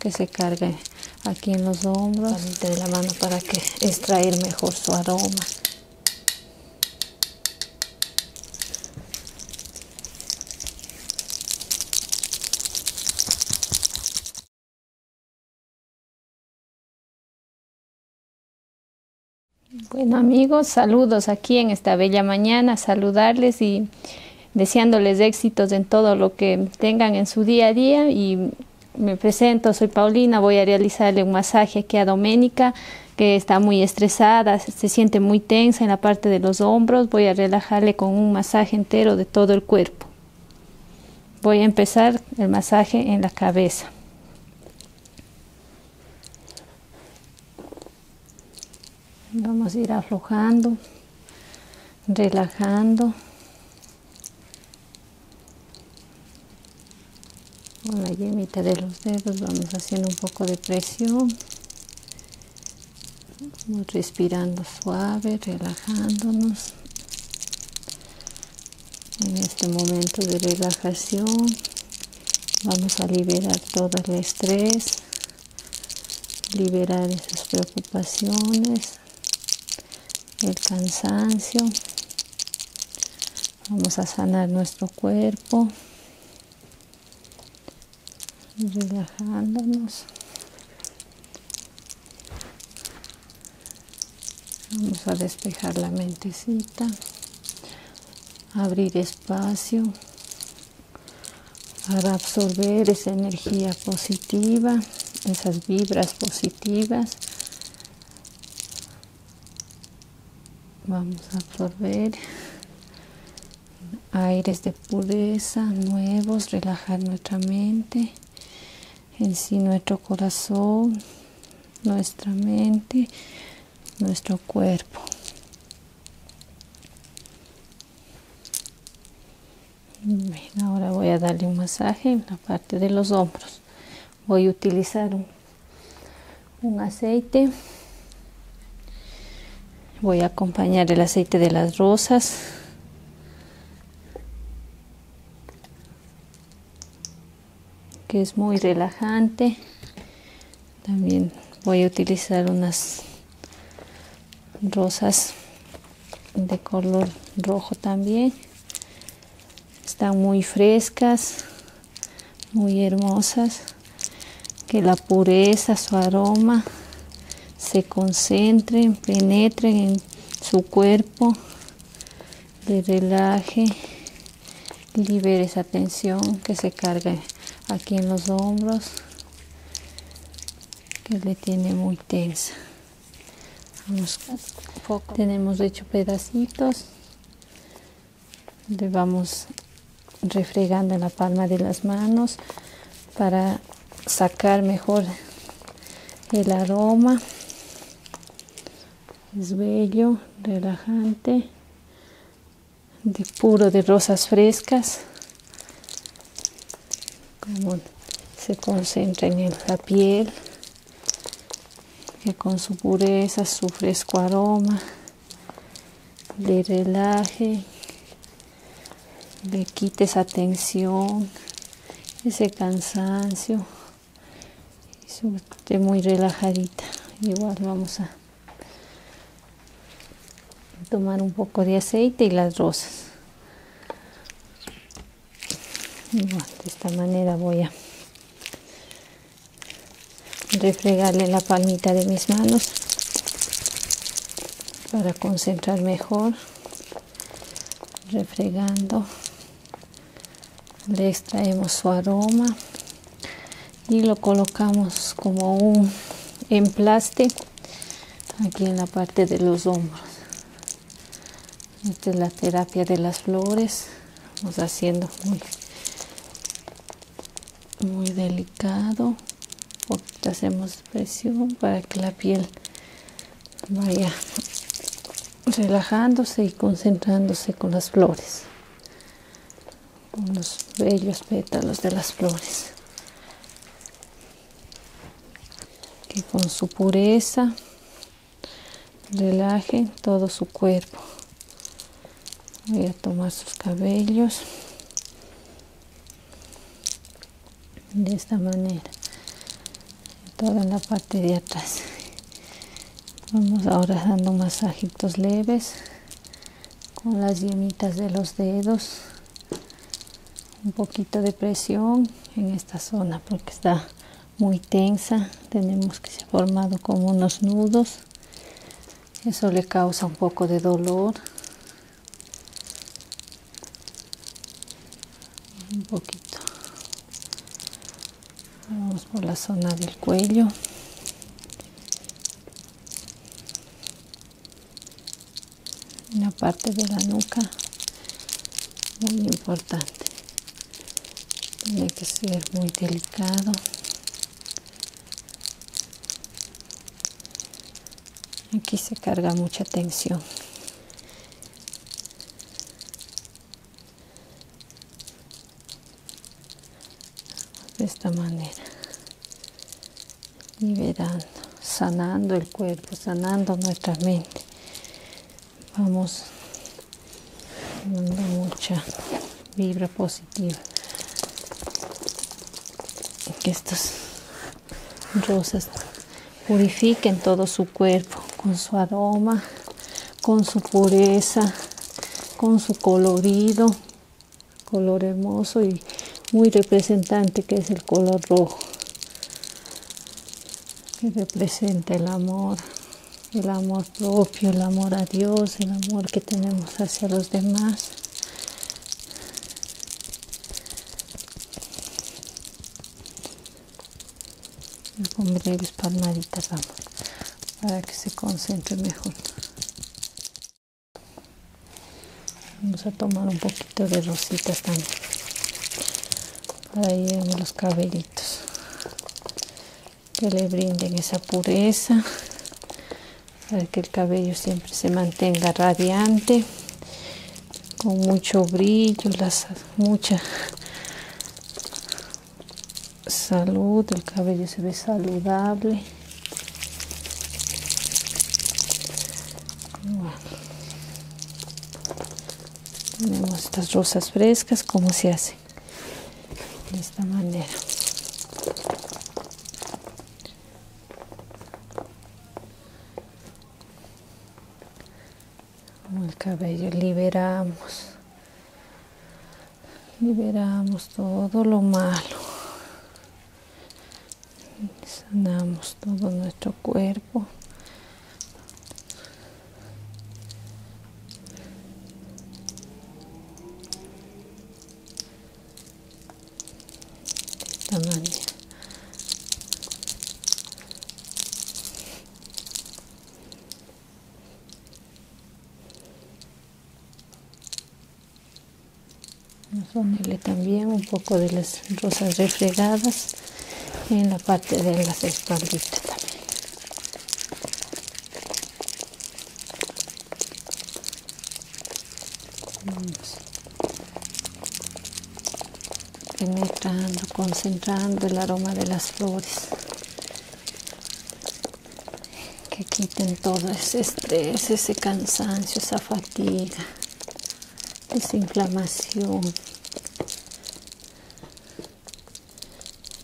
que se cargue aquí en los hombros de la mano para que extraer mejor su aroma bueno amigos saludos aquí en esta bella mañana saludarles y deseándoles éxitos en todo lo que tengan en su día a día y me presento, soy Paulina, voy a realizarle un masaje aquí a Doménica que está muy estresada, se siente muy tensa en la parte de los hombros, voy a relajarle con un masaje entero de todo el cuerpo. Voy a empezar el masaje en la cabeza. Vamos a ir aflojando relajando con la yemita de los dedos vamos haciendo un poco de presión respirando suave relajándonos en este momento de relajación vamos a liberar todo el estrés liberar esas preocupaciones, el cansancio. Vamos a sanar nuestro cuerpo, relajándonos. Vamos a despejar la mentecita, abrir espacio para absorber esa energía positiva, esas vibras positivas. Vamos a absorber aires de pureza nuevos, relajar nuestra mente, en sí nuestro corazón, nuestra mente, nuestro cuerpo ahora voy a darle un masaje en la parte de los hombros. Voy a utilizar un aceite. Voy a acompañar el aceite de las rosas. que es muy relajante también voy a utilizar unas rosas de color rojo también están muy frescas muy hermosas que la pureza su aroma se concentren penetren en su cuerpo le relaje libere esa tensión que se carga aquí en los hombros que le tiene muy tensa tenemos hecho pedacitos le vamos refregando en la palma de las manos para sacar mejor el aroma es bello relajante de puro de rosas frescas se concentra en la piel, que con su pureza, su fresco aroma, le relaje, le quite esa tensión, ese cansancio. y Esté muy relajadita. Igual vamos a tomar un poco de aceite y las rosas de esta manera voy a refregarle la palmita de mis manos para concentrar mejor refregando le extraemos su aroma y lo colocamos como un emplaste aquí en la parte de los hombros esta es la terapia de las flores vamos haciendo muy, muy delicado hacemos presión para que la piel vaya relajándose y concentrándose con las flores con los bellos pétalos de las flores que con su pureza relaje todo su cuerpo voy a tomar sus cabellos de esta manera toda la parte de atrás vamos ahora dando masajitos leves con las yemitas de los dedos un poquito de presión en esta zona porque está muy tensa tenemos que se ha formado como unos nudos eso le causa un poco de dolor un poquito vamos por la zona del cuello una parte de la nuca muy importante tiene que ser muy delicado aquí se carga mucha tensión de esta manera liberando, sanando el cuerpo, sanando nuestra mente. Vamos dando mucha vibra positiva. Que estas rosas purifiquen todo su cuerpo con su aroma, con su pureza, con su colorido, color hermoso y muy representante que es el color rojo, que representa el amor, el amor propio, el amor a Dios, el amor que tenemos hacia los demás. Le para que se concentre mejor. Vamos a tomar un poquito de rositas también para ir a los cabellitos que le brinden esa pureza para que el cabello siempre se mantenga radiante con mucho brillo, las, mucha salud, el cabello se ve saludable tenemos estas rosas frescas, como se hace de esta manera. el cabello liberamos, liberamos todo lo malo sanamos todo nuestro cuerpo Vamos a ponerle también un poco de las rosas refregadas en la parte de las espalditas también. penetrando, concentrando el aroma de las flores que quiten todo ese estrés, ese cansancio, esa fatiga desinflamación.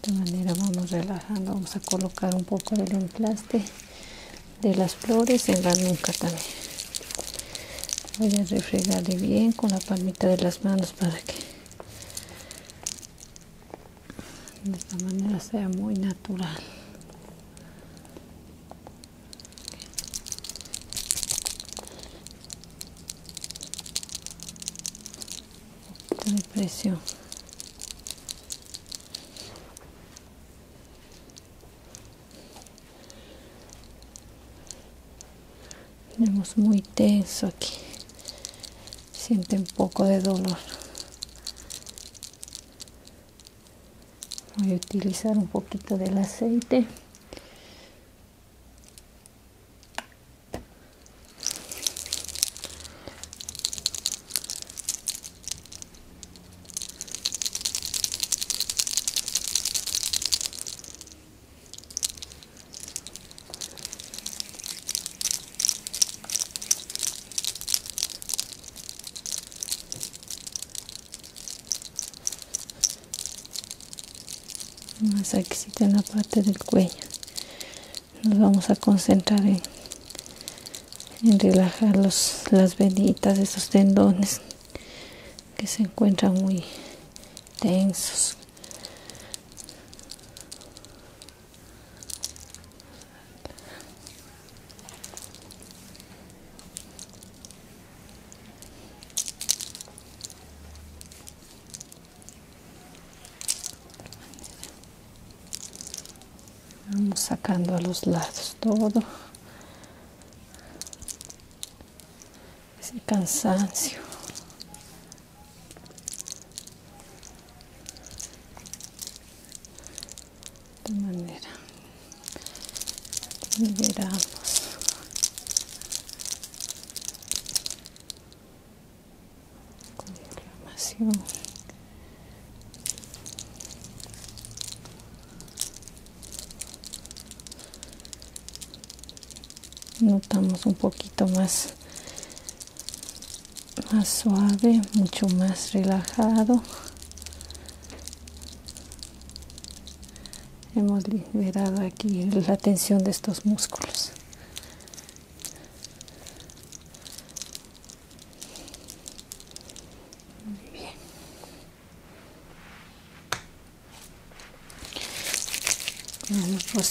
De manera vamos relajando, vamos a colocar un poco del emplaste de las flores en la nuca también. Voy a refregarle bien con la palmita de las manos para que de esta manera sea muy natural de presión tenemos muy tenso aquí siente un poco de dolor voy a utilizar un poquito del aceite aquí en la parte del cuello nos vamos a concentrar en, relajar los, las venitas esos tendones que se encuentran muy tensos vamos sacando a los lados todo ese cansancio de manera liberamos con inflamación notamos un poquito más más suave mucho más relajado hemos liberado aquí la tensión de estos músculos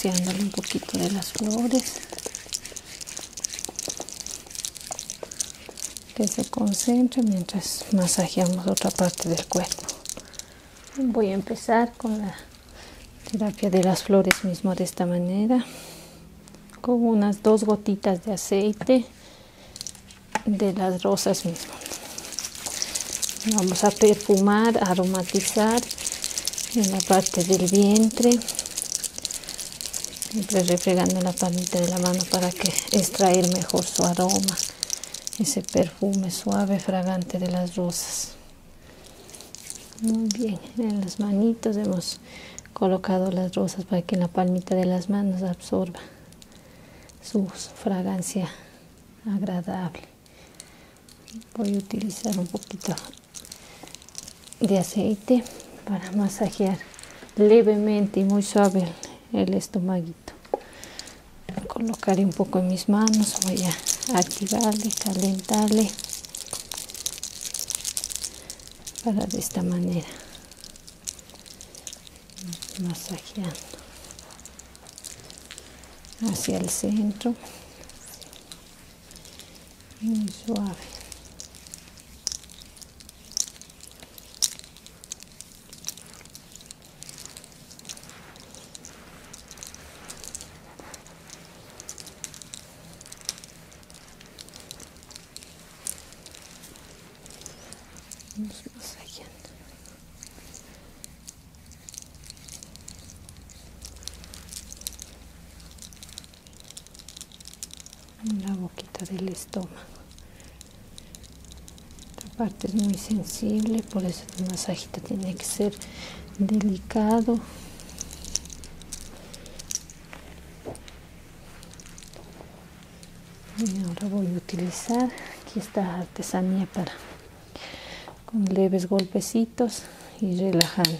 vamos un poquito de las flores que se concentre mientras masajeamos otra parte del cuerpo voy a empezar con la terapia de las flores mismo de esta manera con unas dos gotitas de aceite de las rosas mismo vamos a perfumar aromatizar en la parte del vientre siempre refregando la palita de la mano para que extraer mejor su aroma ese perfume suave, fragante de las rosas. Muy bien, en las manitos hemos colocado las rosas para que en la palmita de las manos absorba su fragancia agradable. Voy a utilizar un poquito de aceite para masajear levemente y muy suave el estomaguito colocaré un poco en mis manos voy a activarle calentarle para de esta manera masajeando hacia el centro muy suave un segundo. En la boquita del estómago esta parte es muy sensible, por eso el masajito tiene que ser delicado. Y ahora voy a utilizar aquí esta artesanía para con leves golpecitos y relajando.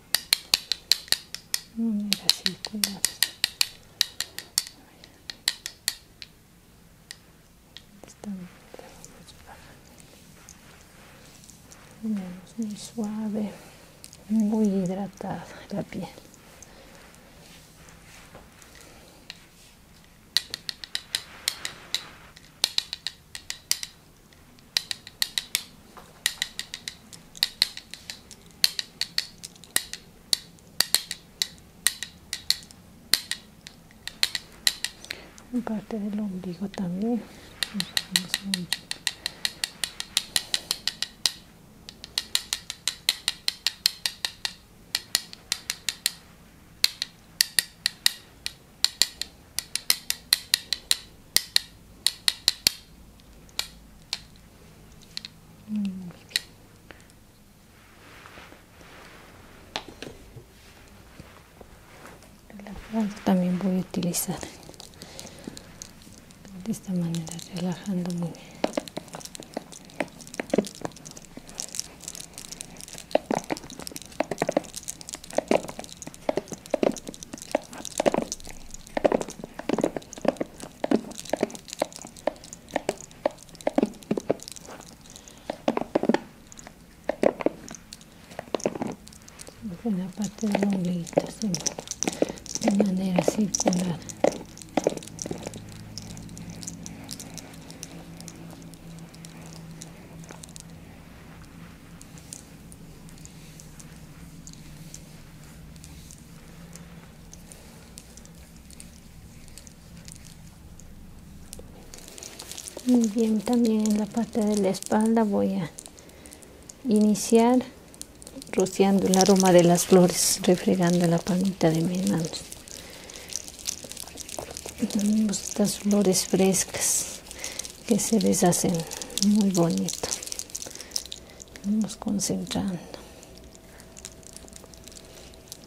muy suave, muy hidratada la piel. Un parte del ombligo también también voy a utilizar de esta manera, relajando muy bien una parte de longuita de manera circular muy bien también en la parte de la espalda voy a iniciar rociando el aroma de las flores refregando la palmita de mi manos pues, tenemos estas flores frescas que se hacen muy bonito Vamos concentrando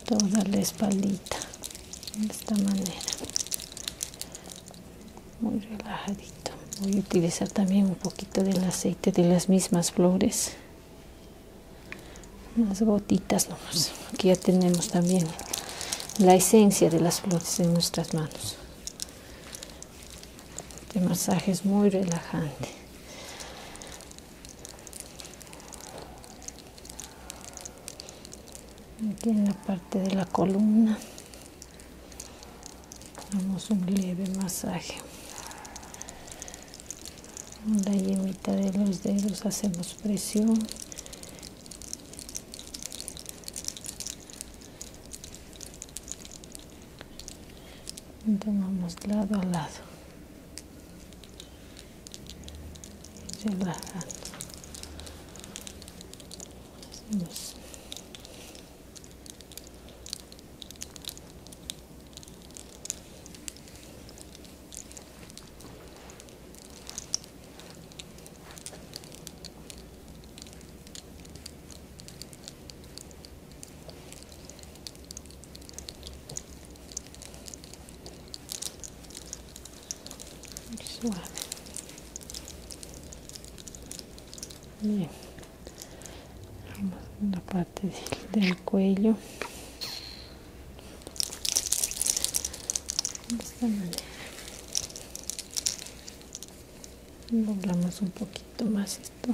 toda la espalda, de esta manera muy relajadito voy a utilizar también un poquito del aceite de las mismas flores unas gotitas nomás aquí ya tenemos también la esencia de las flores en nuestras manos este masaje es muy relajante. Aquí en la parte de la columna damos un leve masaje. Con la yemita de los dedos hacemos presión tomamos lado a lado y muy suave. Bien. Vamos a la parte del cuello. De esta manera doblamos un poquito más esto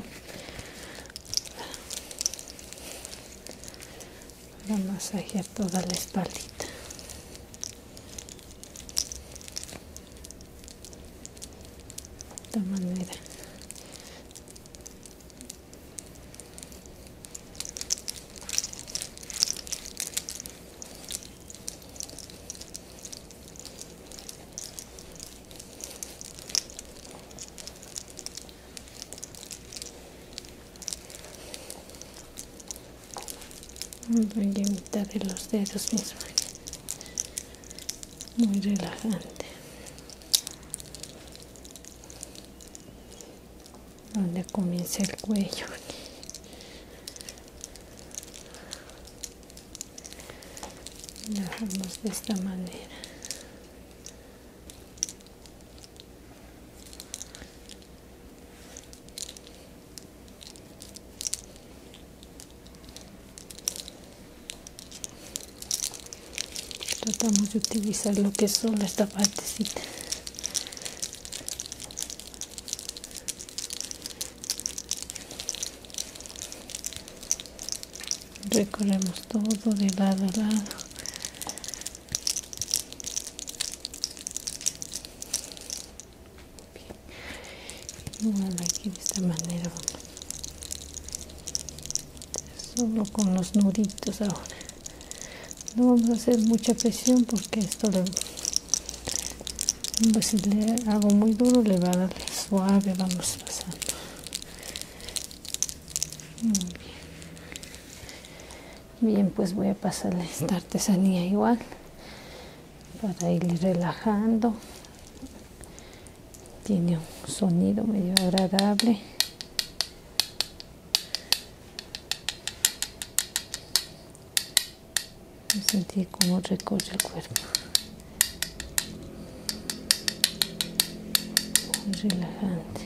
para masajear toda la espalda, de esta manera voy a de los dedos mismos muy relajante donde comienza el cuello relajamos de esta manera tratamos de utilizar lo que es solo esta partecita recorremos todo de lado a lado de esta manera solo con los nuditos ahora no vamos a hacer mucha presión porque esto si pues, le hago muy duro le va a dar suave vamos pasando bien. pues voy a pasar esta artesanía igual para ir relajando tiene un sonido medio agradable sentir cómo recorre el cuerpo muy relajante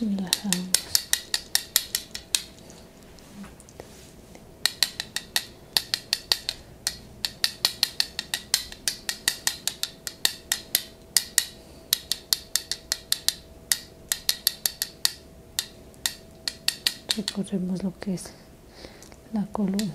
relajamos recorremos lo que es la columna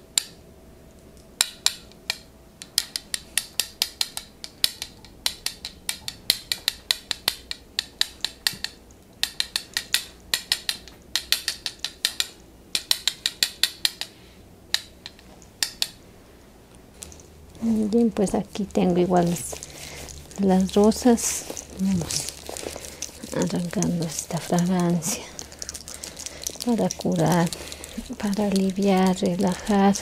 Bien, pues aquí tengo igual las, rosas. Vamos arrancando esta fragancia para curar, para aliviar, relajar.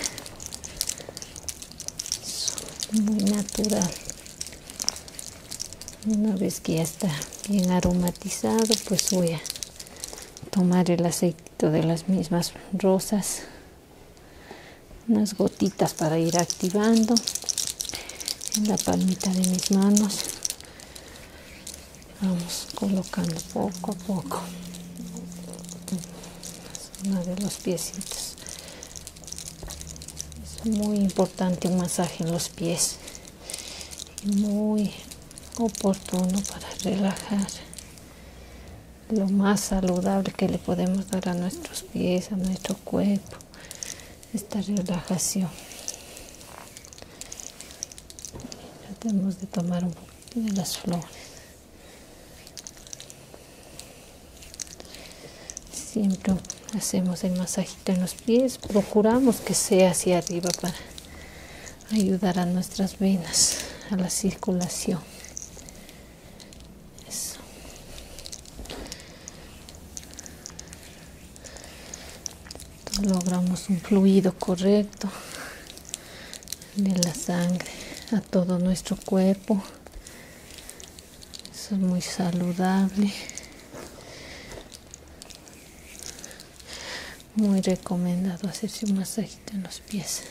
muy natural. Una vez que ya está bien aromatizado, pues voy a tomar el aceite de las mismas rosas. Unas gotitas para ir activando en la palmita de mis manos vamos colocando poco a poco una de los piecitos es muy importante un masaje en los pies muy oportuno para relajar lo más saludable que le podemos dar a nuestros pies a nuestro cuerpo esta relajación Tratemos de tomar un poquito de las flores. Siempre hacemos el masajito en los pies, procuramos que sea hacia arriba para ayudar a nuestras venas, a la circulación. Eso logramos un fluido correcto de la sangre a todo nuestro cuerpo eso es muy saludable muy recomendado hacerse un masajito en los pies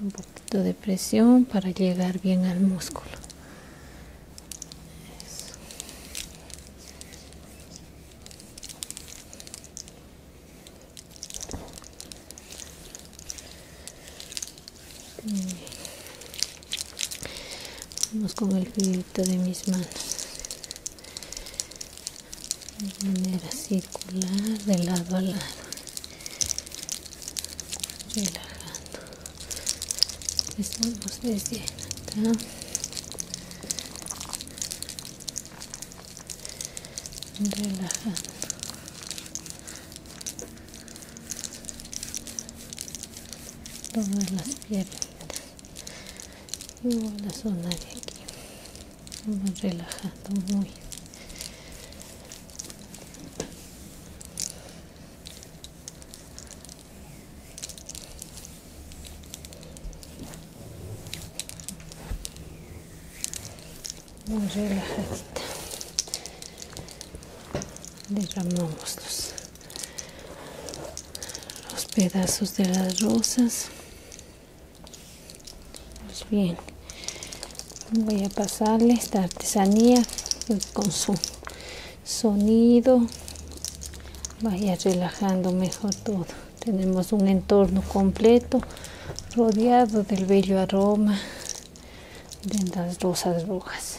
un poquito de presión para llegar bien al músculo Vamos con el grito de mis manos de manera circular de lado a lado relajando estamos desde acá relajando todas las piernas y la zona de aquí relajando muy muy relajadita derramamos los, pedazos de las rosas pues bien voy a pasarle esta artesanía con su sonido vaya relajando mejor todo tenemos un entorno completo rodeado del bello aroma de las rosas rojas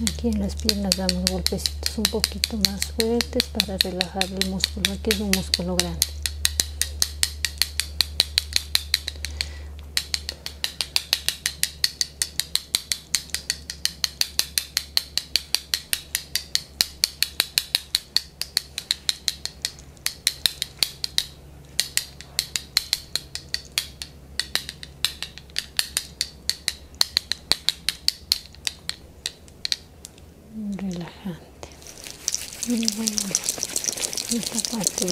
aquí en las piernas damos golpecitos un poquito más fuertes para relajar el músculo. Aquí es un músculo grande relajante muy bueno esta parte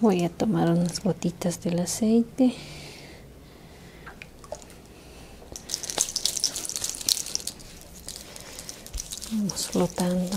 voy a tomar unas gotitas del aceite vamos flotando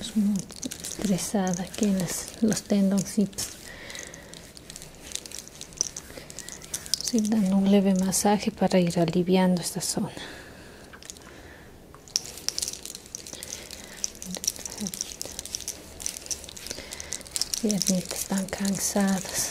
es muy estresada que los tendoncitos dando un leve masaje para ir aliviando esta zona. Piernitas están cansadas.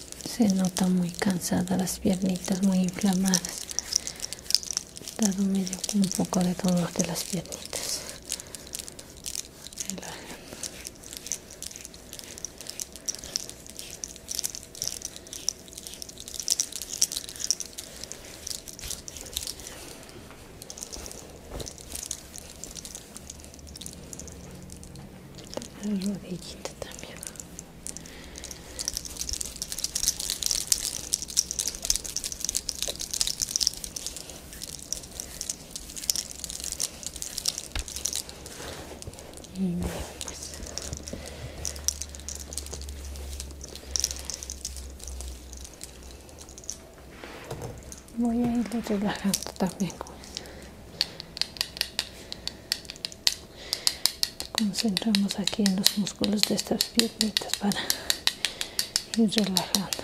se nota muy cansada las piernitas muy inflamadas dado medio un poco de dolor de las piernitas la también voy a ir relajando también concentramos aquí en los músculos de estas piernitas para ir relajando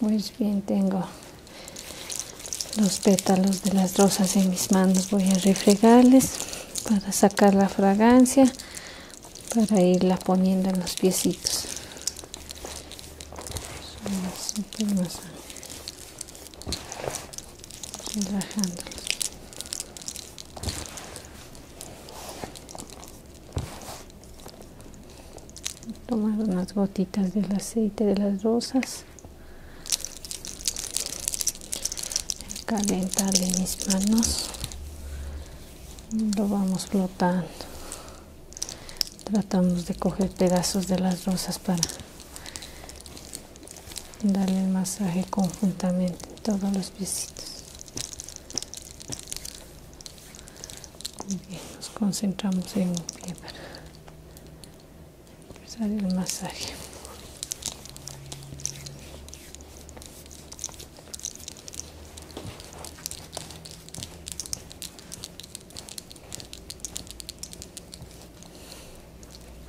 Pues bien, tengo los pétalos de las rosas en mis manos. Voy a refregarles para sacar la fragancia, para irla poniendo en los piecitos tomar unas gotitas del aceite de las rosas calentarle mis manos lo vamos flotando tratamos de coger pedazos de las rosas para darle el masaje conjuntamente en todos los piecitos Bien, nos concentramos en un pie empezar el masaje.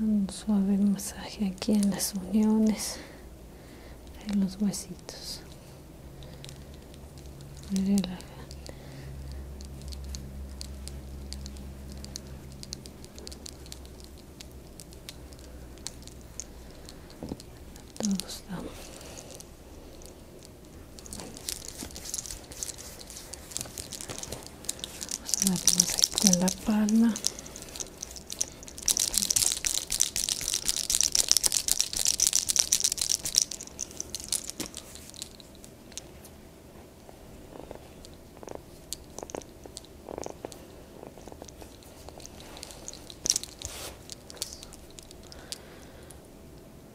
un suave masaje aquí en las uniones en los huesitos vamos a darnos aquí en la palma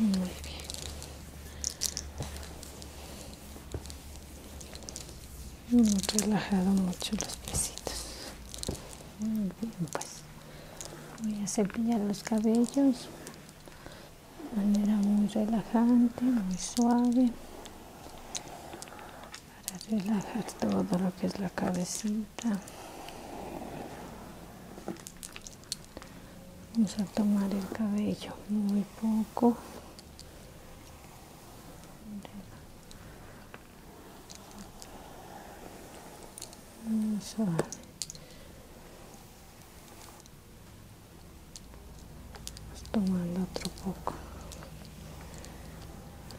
Muy bien. hemos relajado mucho los piecitos. Muy bien, pues. Voy a cepillar los cabellos de manera muy relajante, muy suave para relajar todo lo que es la cabecita vamos a tomar el cabello muy poco Vamos a vamos tomando otro poco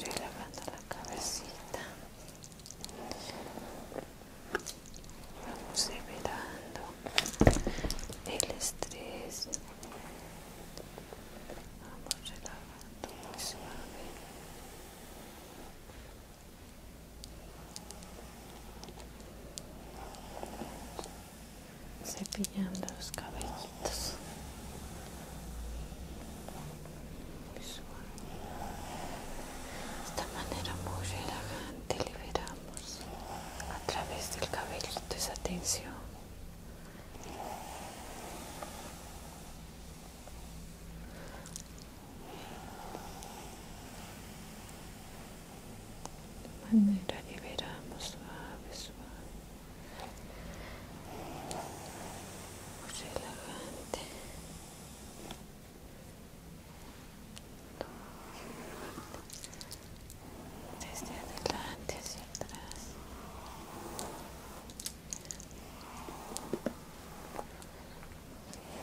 relajando la cabecita vamos liberando el estrés vamos relajando muy suave cepillando los cabellitos de esta manera muy relajante liberamos a través del cabellito esa tensión. De manera liberamos suave, suave relajante desde adelante hacia atrás Muy bien.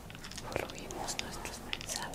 volvimos nuestros pensamientos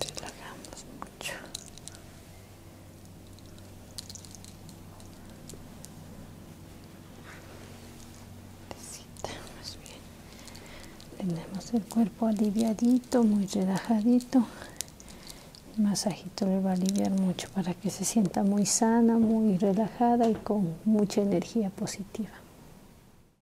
relajamos mucho más bien tenemos el cuerpo aliviadito muy relajadito el masajito le va a aliviar mucho para que se sienta muy sana muy relajada y con mucha energía positiva